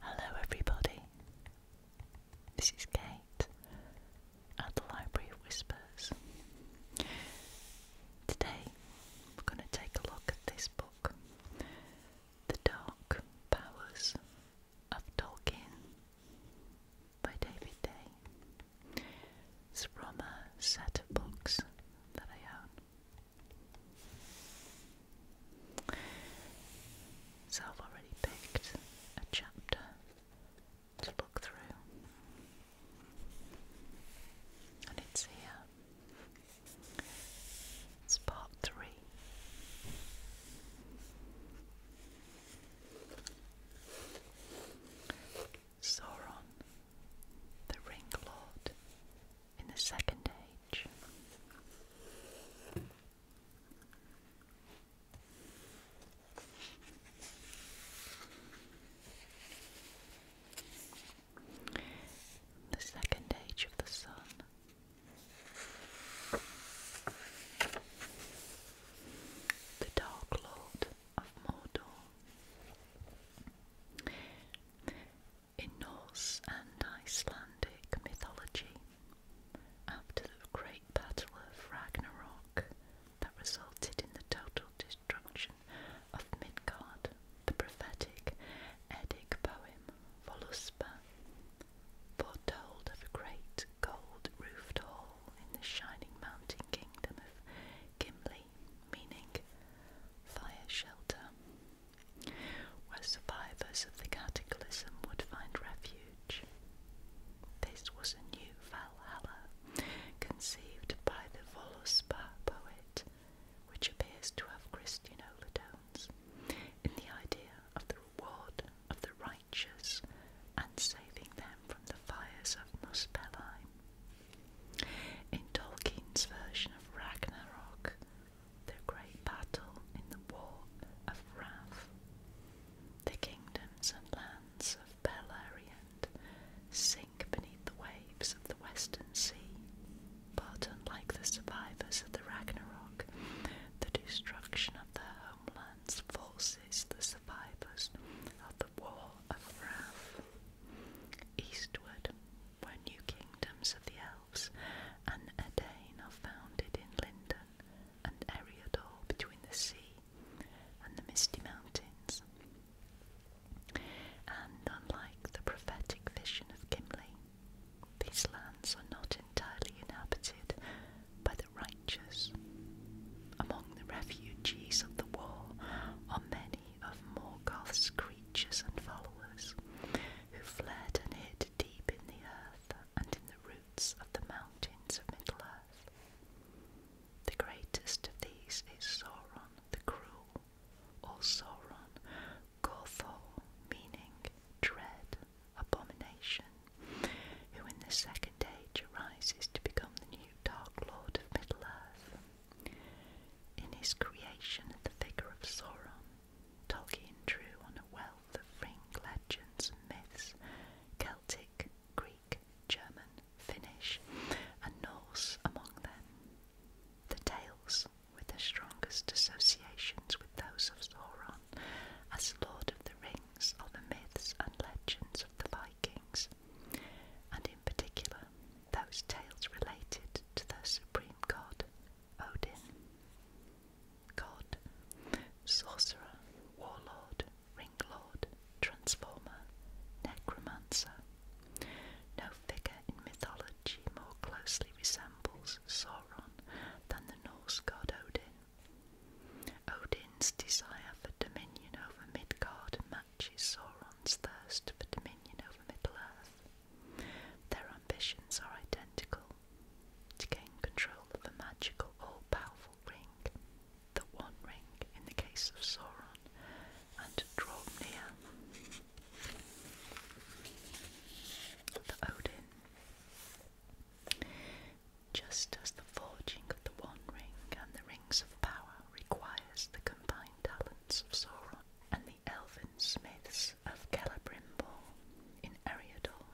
Hello, everybody. This is Kate at the Library of Whispers. Today we're going to take a look at this book, The Dark Powers of Tolkien by David Day. It's from a set of books that I own. So I've already picked a chapter to look through, and it's here. It's part three. Sauron, the Ring Lord, in the Second Age. The Second Age of the Sun. The Dark Lord of Mordor in Norse and Icelandic mythology, after the great battle of Ragnarok that resulted in the total destruction of Midgard, the prophetic Eddic poem Voluspa foretold of a great gold roofed hall in the shining mountain kingdom of Gimli, meaning fire shelter, where survivors of the cataclysm would find refuge. This was a new Valhalla conceived by the Voluspa poet, which appears to have Christian overtones in the idea of the reward of the righteous and saving them from the fires of Muspelheim. In Tolkien's version of Ragnarok, the great battle in the War of Wrath, the kingdoms and lands of Beleriand sink beneath the waves of the Western Sea. But unlike the survivors of the Ragnarok, the destruction of their homelands forces the survivors of the War of Wrath eastward where new kingdoms of the elves and Edain are founded in Lindon and Eriador between the sea and the misty mountains. And unlike the prophetic vision of Gimli, these lands are not entirely inhabited by the righteous. Among the refugees of the war are many of Morgoth's creatures and followers, who fled and hid deep in the earth and in the roots of the mountains of Middle Earth. The greatest of these is Sauron the Cruel, or Sauron Gothol, meaning dread, abomination, who in the second age arises to become the new Dark Lord of Middle Earth. In his creation of the figure of Sauron, Tolkien drew on a wealth of ring legends myths, Celtic, Greek, German, Finnish, and Norse among them. The tales with the strongest associations with those of Sauron as Lord of the Rings are the myths and legends of the Vikings, and in particular those tales related to the supreme god, Odin. God, sorcerer, warlord, ring lord, transformer, necromancer. No figure in mythology more closely resembles Sauron than the Norse god Odin. Odin's desire for dominion over Midgard matches Sauron's thirst for dominion over Middle-earth. Their ambitions are identical, to gain control of the magical all-powerful ring, the One Ring in the case of Sauron, and to draw near the Odin. Just as the forging of the One Ring and the Rings of Power requires the combined talents of Sauron and the elven smiths of Celebrimbor in Eriador,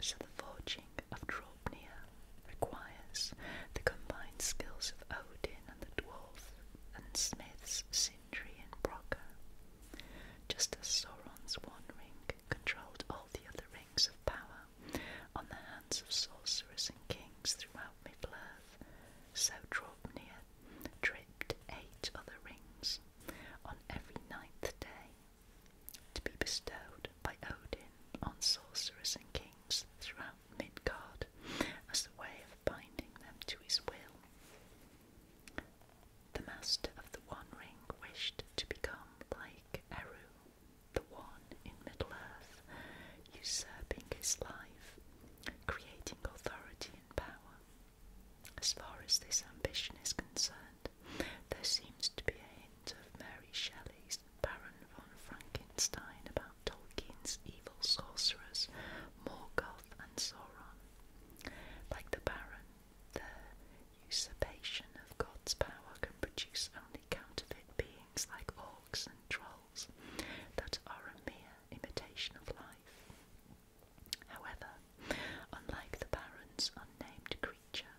so the forging of Draupnir requires the combined skills of Odin and the dwarf and smiths Sindri and Brokka. just as Sauron's one ring controlled all the other rings of power on the hands of sorcerers and kings throughout Middle-earth, so Draupnir dripped eight other rings on every ninth day to be bestowed by Odin on sorcerers and kings throughout Midgard as the way of binding them to his will. The master of the One Ring wished to become like Eru, the One in Middle-earth, usurping his life creating authority and power. As far as this ambition is concerned, there seems to be a hint of Mary Shelley's Baron von Frankenstein about Tolkien's evil sorcerers, Morgoth and Sauron. Like the Baron, the usurpation of God's power can produce only counterfeit beings like orcs and trolls that are a mere imitation of life. However, unlike the Baron's unnamed creature,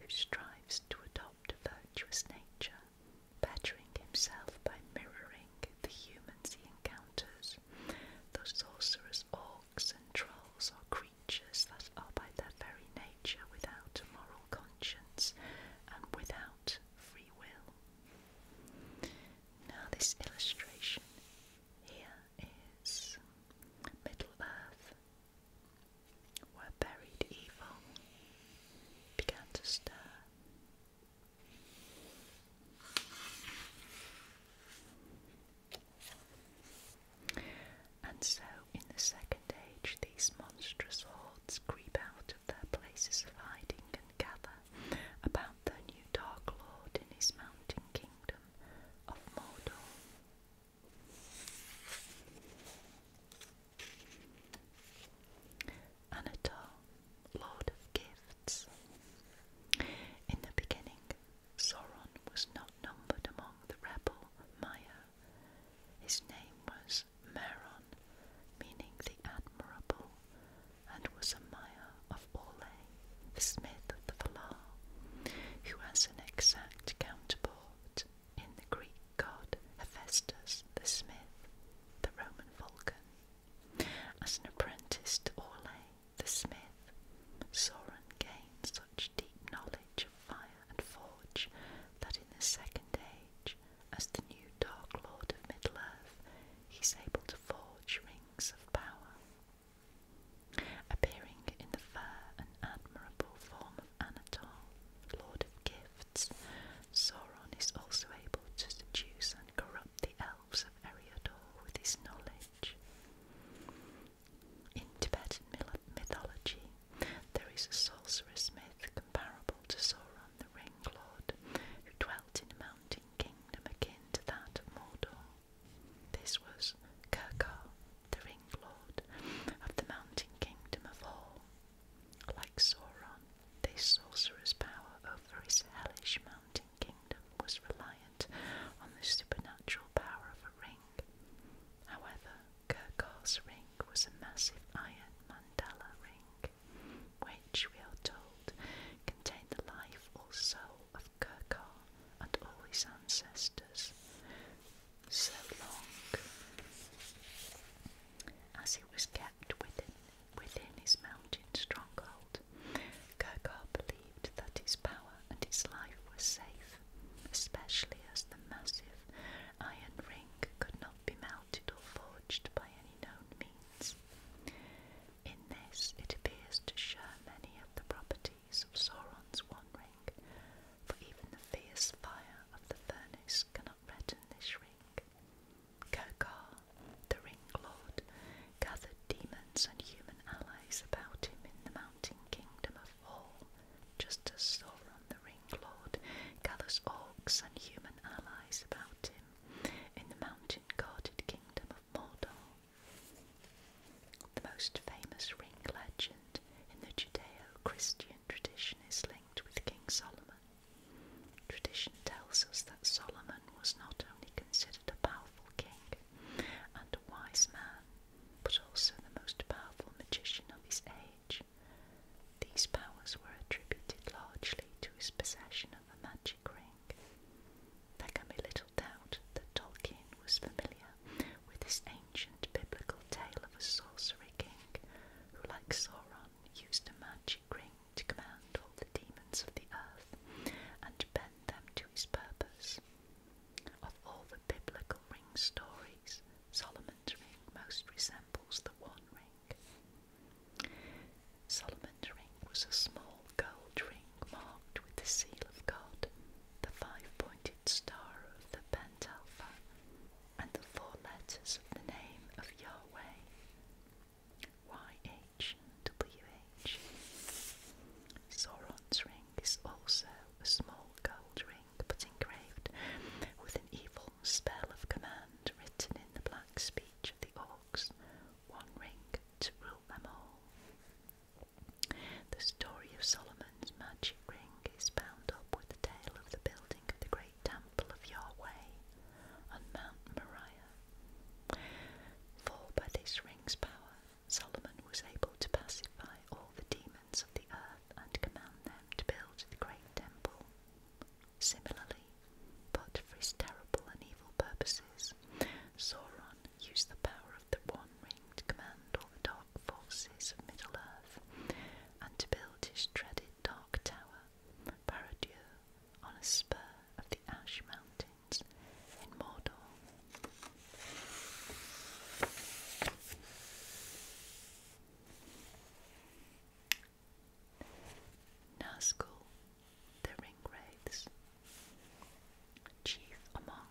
who strives to adopt a virtuous nature, bettering himself by mirroring the humans he encounters, those sorcerer's orcs and trolls are creatures that are by their very nature without a moral conscience and without free will. Now, this illustration here is Middle Earth, where buried evil began to stir. And so, in the second age, these monstrous hordes creep out of their places of hiding and gather about the new Dark Lord in his mountain kingdom of Mordor. Anatol, Lord of Gifts. In the beginning, Sauron was not numbered among the rebel Maya. His name was Meron, meaning the admirable, and was a mire of Orlais, the smith of the Valar, who has an exact counterpart in the Greek god Hephaestus the smith, the Roman Vulcan. As an apprentice to Orlais the smith, Sauron gained such deep knowledge of fire and forge that in the second age as the new Dark Lord of Middle-earth, he's able to forge rings of power. Appearing in the fair and admirable form of Anatol, Lord of Gifts, Sauron is also able to seduce and corrupt the elves of Eriador with his knowledge. In Tibetan mythology, there is a sorceress myth comparable to Sauron the Ring Lord, who dwelt in a mountain kingdom akin to that of Mordor. This was Kerkar, the ring lord of the mountain kingdom of Hor. Like Sauron, this sorcerer's power over his hellish mountain kingdom was reliant on the supernatural power of a ring. However, Kerkar's ring was a massive iron mandala ring which, we are told, contained the life or soul of Kirkar and all his ancestors. So long as it was kept within, within his mountain stronghold, Kirkar believed that his power and his life were safe, especially as the massive iron ring could not be melted or forged by any known means. In this, it appears to share many of the properties of Sauron's One Ring, for even the fierce fire of the furnace cannot redden this ring. Kokar, the Ring Lord, gathered demons and human allies about him in the mountain kingdom of Hall, just as Sauron the Ring Lord gathers orcs and human allies about him in the mountain ancient guarded kingdom of Mordor. The most famous ring legend in the Judeo-Christian tradition is linked with King Solomon. Tradition tells us that Solomon was not only considered a powerful king and a wise man, but also the most powerful magician of his age. These powers were attributed largely to his possession of a magic ring. There can be little doubt that Tolkien was familiar with this ancient biblical tale of a sorcery king who, like Sauron, used a magic ring to command all the demons of the earth and bend them to his purpose. Of all the biblical ring stories, Solomon's ring most resembles the One Ring. Solomon's ring was a small gold ring marked with the seal of God, the five pointed star of the Pent Alpha, and the four letters of the name of Yahweh. YHWH. Sauron's ring is also a small gold ring, but engraved with an evil spell of command written in the black speech of the orcs, one ring to rule them all. The story of Solomon's magic ring is bound up with the tale of the building of the great temple of Yahweh on Mount Moriah. For by this ring's power, Solomon was able to pacify all the demons of the earth and command them to build the great temple. Similarly, but for his terrible and evil purposes, Sauron used the power of the One Ring to command all the dark forces of Middle Earth and to build his dreaded Dark Tower, Barad-dûr, on a spur of the Ash Mountains in Mordor. Nazgul, the Ringwraiths, chief among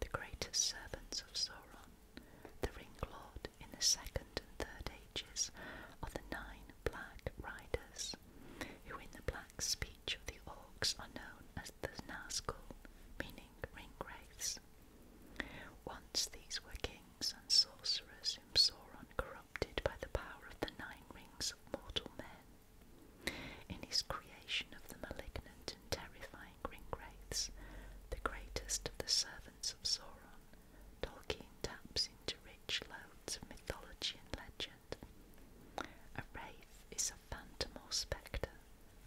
the greatest servants of Sauron, the Ring Lord in the second and third ages of the nine black riders, who in the black speech of the orcs are known as the Nazgul, meaning Ringwraiths. Once these were kings and sorcerers whom Sauron corrupted by the power of the nine rings of mortal men. In his creation of the malignant and terrifying ring the greatest of the servants of Sauron, Tolkien taps into rich loads of mythology and legend. A wraith is a phantom or spectre,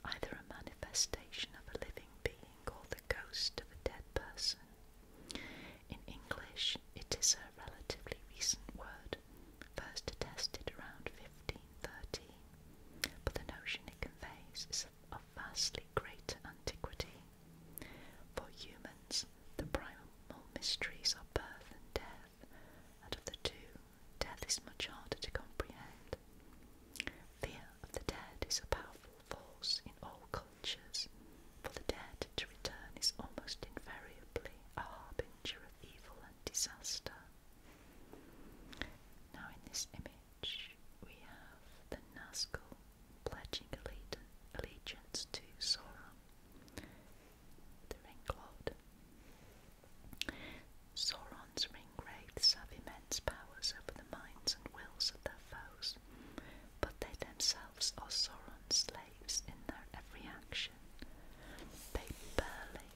either a manifestation of a living being or the ghost of a dead person. In English, it is a relatively recent word, first attested around 1513, but the notion it conveys is of vastly greater antiquity. For humans, the primal mysteries are birth and death, and of the two, death is much harder to comprehend. Fear of the dead is a powerful force in all cultures for the dead to return is almost invariably a harbinger of evil and disaster. Now, in this image, we have the Nazgul pledging allegiance to Sauron, the Ring Lord. Sauron's ring have immense powers over the minds and wills of their foes but they themselves are run slaves in their every action. They barely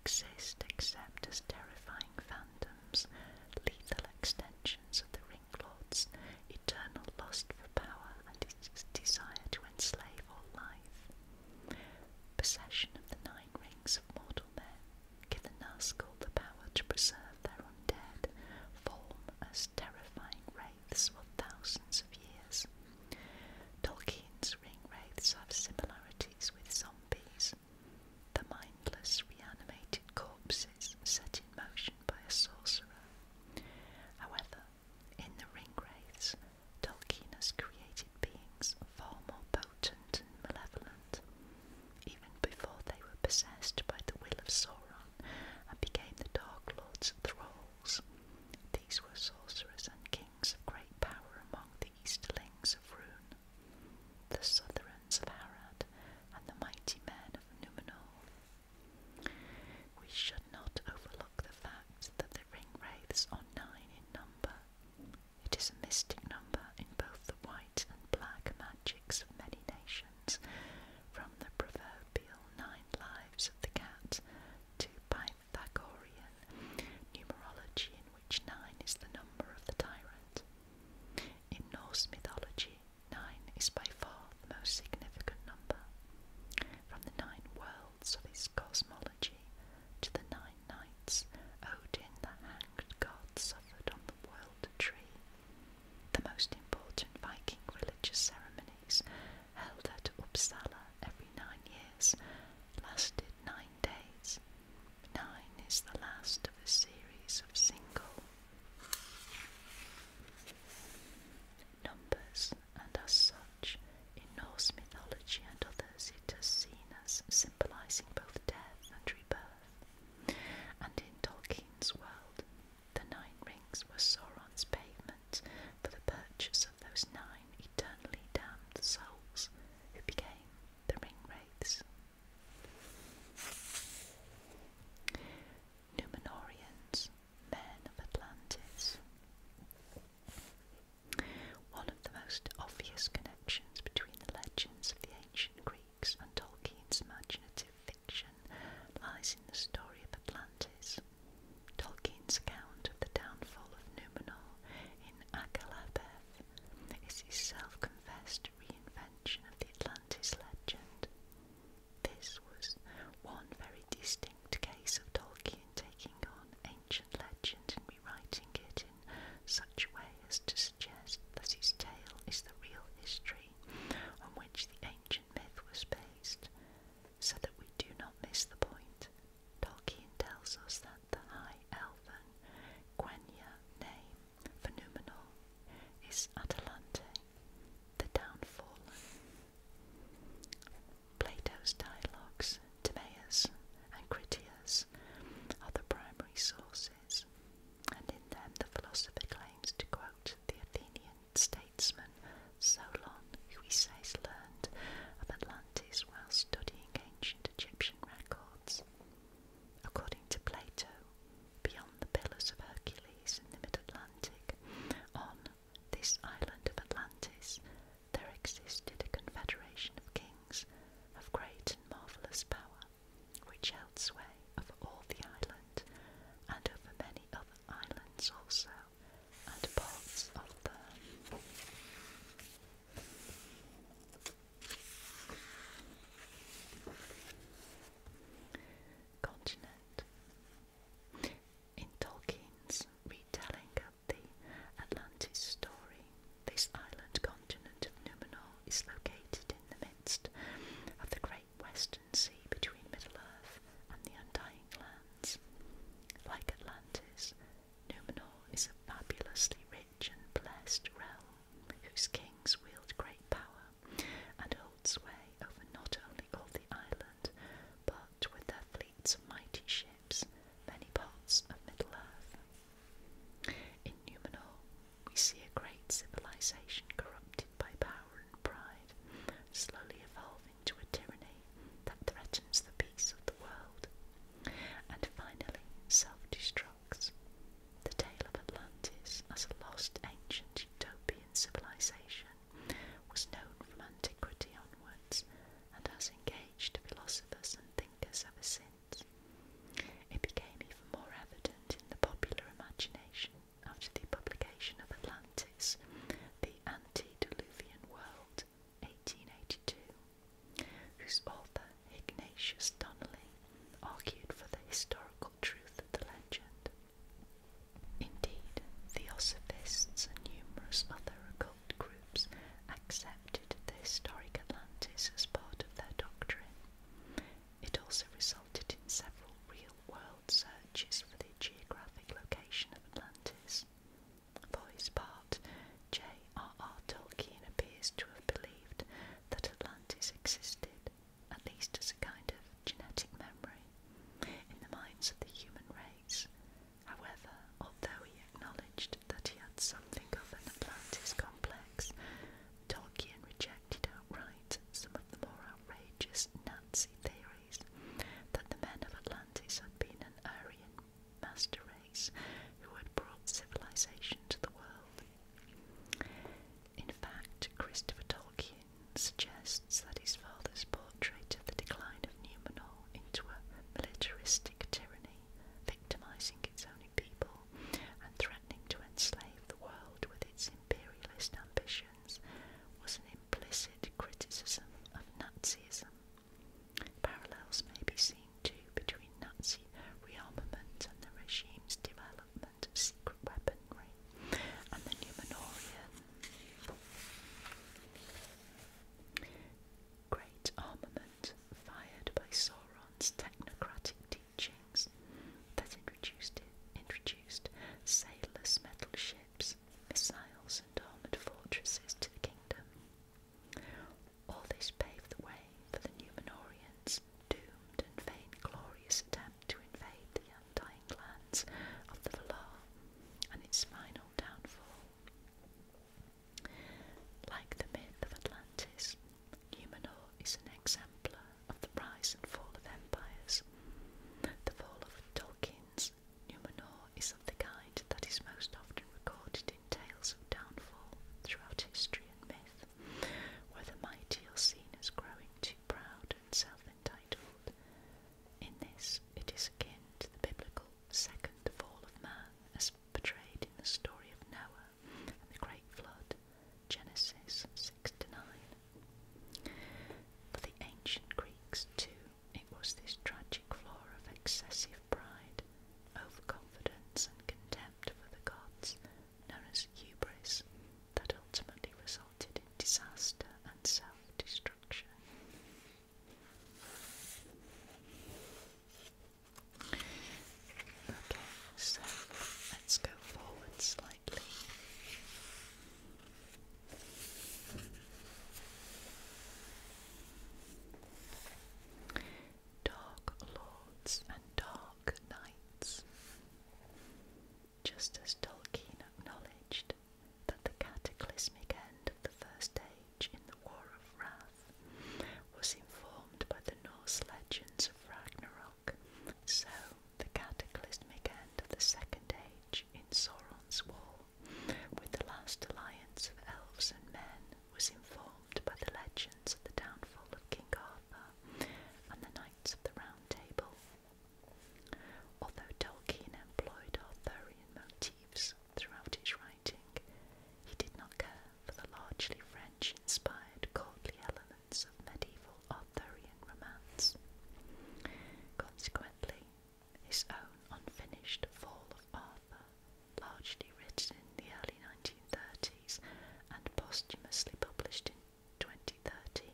exist except as terrifying phantoms, lethal extensions of the ring lords, eternal lust for power and its desire to enslave all life. Possession of the nine rings of mortal men given Nazgul the power to preserve their undead form as terrifying wraiths for thousands of years. Tolkien's ring wraiths have similarities with zombies, the mindless reanimated corpses set in motion by a sorcerer. However, in the ring wraiths, Tolkien has created beings far more potent malevolent, even before they were possessed by the will of Sauron and became the Dark Lords Thralls. These were sorcerers and kings of great power among the Easterlings of Rune, the Southrons of Harad, and the mighty men of Numenor. We should not overlook the fact that the ring wraiths are nine in number, it is a mystic number in both the white and black magics of many nations, from the proverbial nine lives of the cat to Pythagorean numerology, in which nine is the number of the tyrant. In Norse mythology, nine is by far the most significant number. From the nine worlds of his cosmology to the nine nights, Odin the Hanged God suffered on the world tree. The most important Viking religious ceremonies, held at Uppsala every nine years, lasted nine days. Nine is the last of a series of single numbers, and as such, in Norse mythology and others, it is seen as symbolizing both death and rebirth, and in Tolkien's world, the Nine Rings were Sauron's payment for the purchase of those nine eternally damned souls who became the Ring Wraiths. Numenorians, men of Atlantis. One of the most obvious connections between the legends of the ancient Greeks and Tolkien's imaginative fiction lies in the story of Atlantis. Tolkien's account of the downfall of Numenor in Akalabeth is his self-confessed reinvention of the Atlantis legend. This was one very distinct case of Tolkien taking on ancient legend writing it in such a way as to suggest that his tale is the real history on which the ancient myth was based, so that we do not miss the point. Tolkien tells us that the High Elven name for Numenor is Atalante, the Downfallen. Plato's dialogues, Timaeus and Critias are the primary sources, and in them the philosopher claims to quote the Athenian statesman Solon, who he says learned of Atlantis while studying ancient Egyptian records. According to Plato, beyond the Pillars of Hercules in the mid Atlantic, on this island of Atlantis, there existed a confederation of kings of great and marvellous power, which held sway of all the island and over many other islands also, and parts of the Continent. In Tolkien's retelling of the Atlantis story, this island continent of Numenor is located in the midst of the great western sea between Middle-earth and the Undying Lands. Like Atlantis, Numenor is a fabulously rich and blessed realm whose kings wield great power and hold sway over not only all the island, but with their fleets of mighty ships, many parts of Middle-earth. In Numenor, we see a great civilization corrupted by power and pride, slowly evolving into a tyranny that threatens the peace of the world and finally self destructs. The tale of Atlantis as a lost ancient utopian civilization was known from antiquity onwards and has engaged philosophers and thinkers ever since. It became even more evident in the popular imagination after the publication of Atlantis, the Antediluvian World, 1882, whose author, Ignatius Donnelly, argued for the historical truth of the legend. Indeed, theosophists and numerous other occult groups accept accepted the historic Atlantis as part of their doctrine. It also resulted in several real world searches for the geographic location of Atlantis. For his part, J.R.R. Tolkien appears to have believed that Atlantis existed, at least as a kind of genetic memory, in the minds of the human race. However, although he acknowledged that he had something of an Atlantis complex, Tolkien rejected outright some of the more outrageous Nazi theories that the men of Atlantis had been an Aryan master race who had brought civilization to the world. In fact, Christopher Tolkien suggests that his father's portrait of the decline of Numenor into a militaristic tyranny victimizing its own people and threatening to enslave the world with its imperialist ambitions, was an implicit criticism of Nazism. Parallels may be seen too between Nazi rearmament and the regime's development of secret weaponry and the Numenorian. Great armament fired by Sauron's technocratic teachings that introduced, introduced sailless metal ships, missiles, and armoured fortresses to the kingdom. All this paved the way for the Numenorians' doomed and vain glorious attempt to invade the undying lands of the Valar and its final downfall. Like the myth of Atlantis, Numenor is an exemplar of the rise and fall of empires. The fall of Tolkien's Numenor is of the kind that is most often recorded in tales of downfall throughout history and myth, where the mighty are seen as growing too proud and self-entitled. In this, it is akin to the biblical second fall of man as portrayed in the story of Noah the Great Flood, Genesis 6 to 9. For the ancient Greeks, too, it was this tragic flaw of excessive pride, overconfidence, and contempt for the gods, known as hubris, that ultimately resulted in disaster and self destruction. Okay, so let's go forward slightly. Dark lords and dark knights. Just as Tolkien acknowledged that the cataclysmic end of the First Age in the War of Wrath was informed by the Norse legends of Ragnarok. So, the cataclysmic end of the Second Age in Sauron's War, with the last alliance of elves and men, was informed by the legends of the downfall of King Arthur and the Knights of the Round Table. Although Tolkien employed Arthurian motifs throughout his writing, he did not care for the largely French inspired courtly elements of medieval Arthurian romance. Consequently, his own unfinished Fall of Arthur, largely written in the early 1930s and posthumously published in 2013,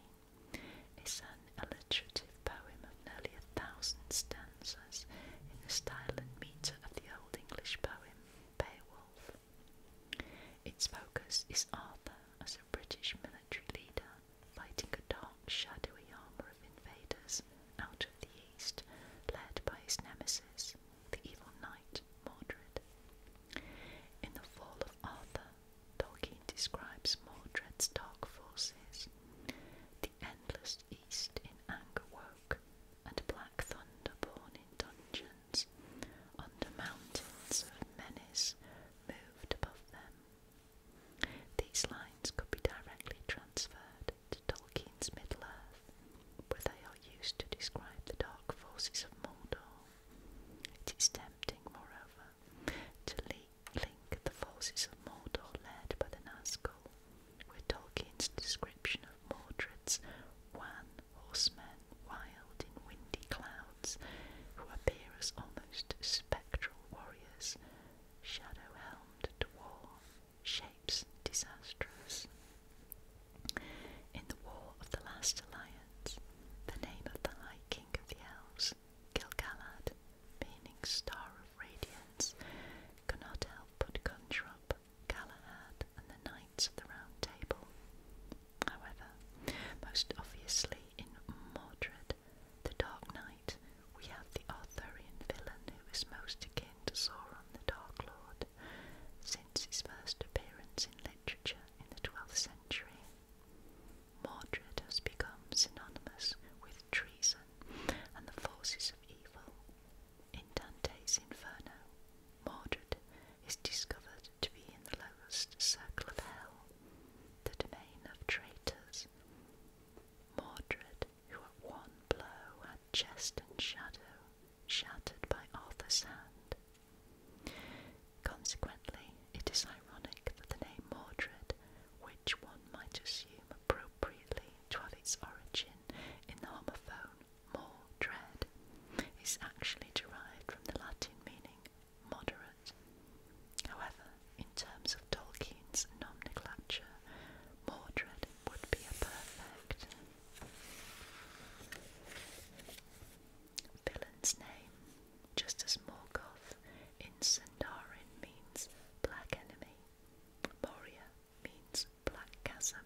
is an alliterative poem of nearly a thousand stanzas in the style and metre of the Old English poem Beowulf. Its focus is Arthur as a British military leader fighting a dark, shadowy armour of invaders out of the east, led by his nemesis, the evil knight Mordred. In The Fall of Arthur, Tolkien describes Mordred's dark forces. The endless east in anger woke, and black thunder born dungeons, under mountains of menace moved above them. These lines could be directly transferred to Tolkien's Middle-earth, where they are used to describe the dark forces of Mordor. It is tempting, moreover, to link the forces of Mordor led by the Nazgul we're Tolkien's description of Mordred's wan horsemen, wild in windy clouds, who appear as almost spectral warriors, shadow helmed to war, shapes disastrous. In the War of the Last Alliance, the name of the High King of the Elves, Gilgalad, meaning Star of Radiance, cannot help but conjure up Galahad, and the Knights of the Round Table. However, most obviously in Mordred, the Dark Knight, we have the Arthurian villain who is most akin to Sauron the Dark Lord, since his first appearance in literature in the 12th century. Mordred has become synonymous with treason and the forces of evil, in Dante's Inferno, Mordred is discovered to be in the lowest circle of hell, the domain of traitors. Mordred, who at one blow had chest and shadow shattered by Arthur's hand. Consequently, it is ironic that the name Mordred, which one might assume appropriately to have its origin in the homophone more dread, is actually derived from the Latin meaning moderate. However, in terms of Tolkien's nomenclature, Mordred would be a perfect villain's name, just as Morgoth in Sindarin means black enemy. Moria means black chasm,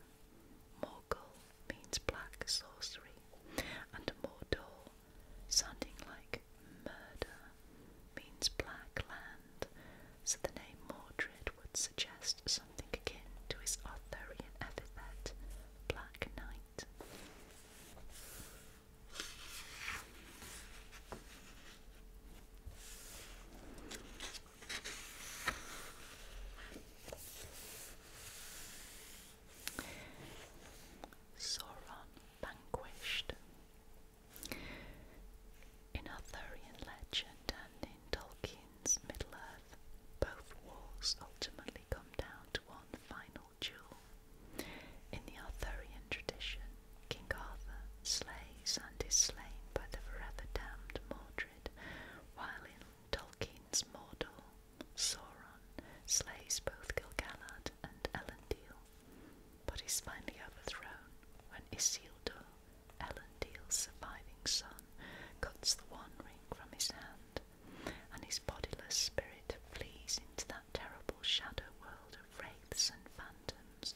Morgul means black sorcery, and Mordor, sounding like murder, means black land, so the name Mordred would suggest something akin to his Arthurian epithet, Black Knight. Sauron vanquished. In Arthurian legend and in Tolkien's Middle Earth, both wars ultimately come down to one final duel. In the Arthurian tradition, King Arthur slays and is slain by the forever damned Mordred, while in Tolkien's Mordor, Sauron slays both Gilgalad and Elendil, but is finally overthrown when Isildur, Elendil's surviving son, cuts the One Ring from his hand, and his bodiless spirit flees into that terrible shadow world of wraiths and phantoms.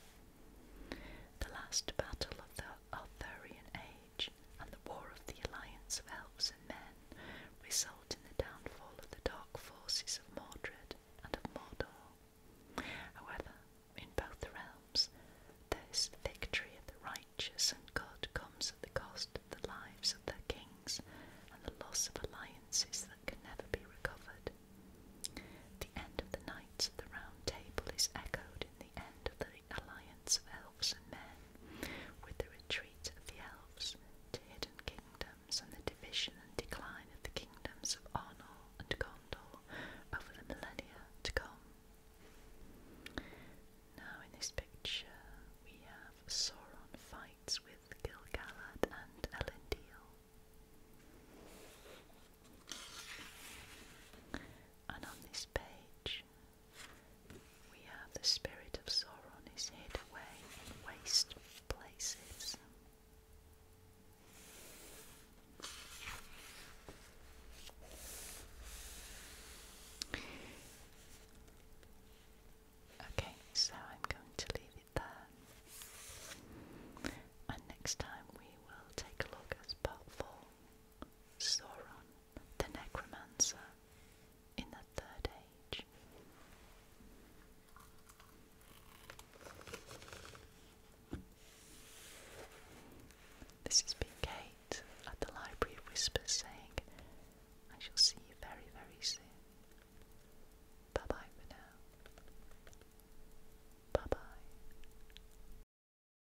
The last battle of the Arthurian age and the War of the Alliance of Elves and Men result in the downfall of the dark forces of Mordred and of Mordor. However, in both realms, this victory of the righteous and good comes at the cost of the lives of their kings and the loss of alliances that can never be recovered. The end of the Knights of the Round Table is echoed in end of the alliance of elves and men, with the retreat of the elves to hidden kingdoms and the division and decline of the kingdoms of Arnor and Gondor over the millennia to come. Now, in this picture, we have Sauron fights with Gilgalad and Elendil. And on this page, we have the spirit of Sauron is hid away in waste places. Okay, so I'm going to leave it there. And next time we will take a look at part four. Sauron the Necromancer in the Third Age. This has been Kate at the Library of saying, I shall see you very, very soon. Bye bye for now. Bye bye.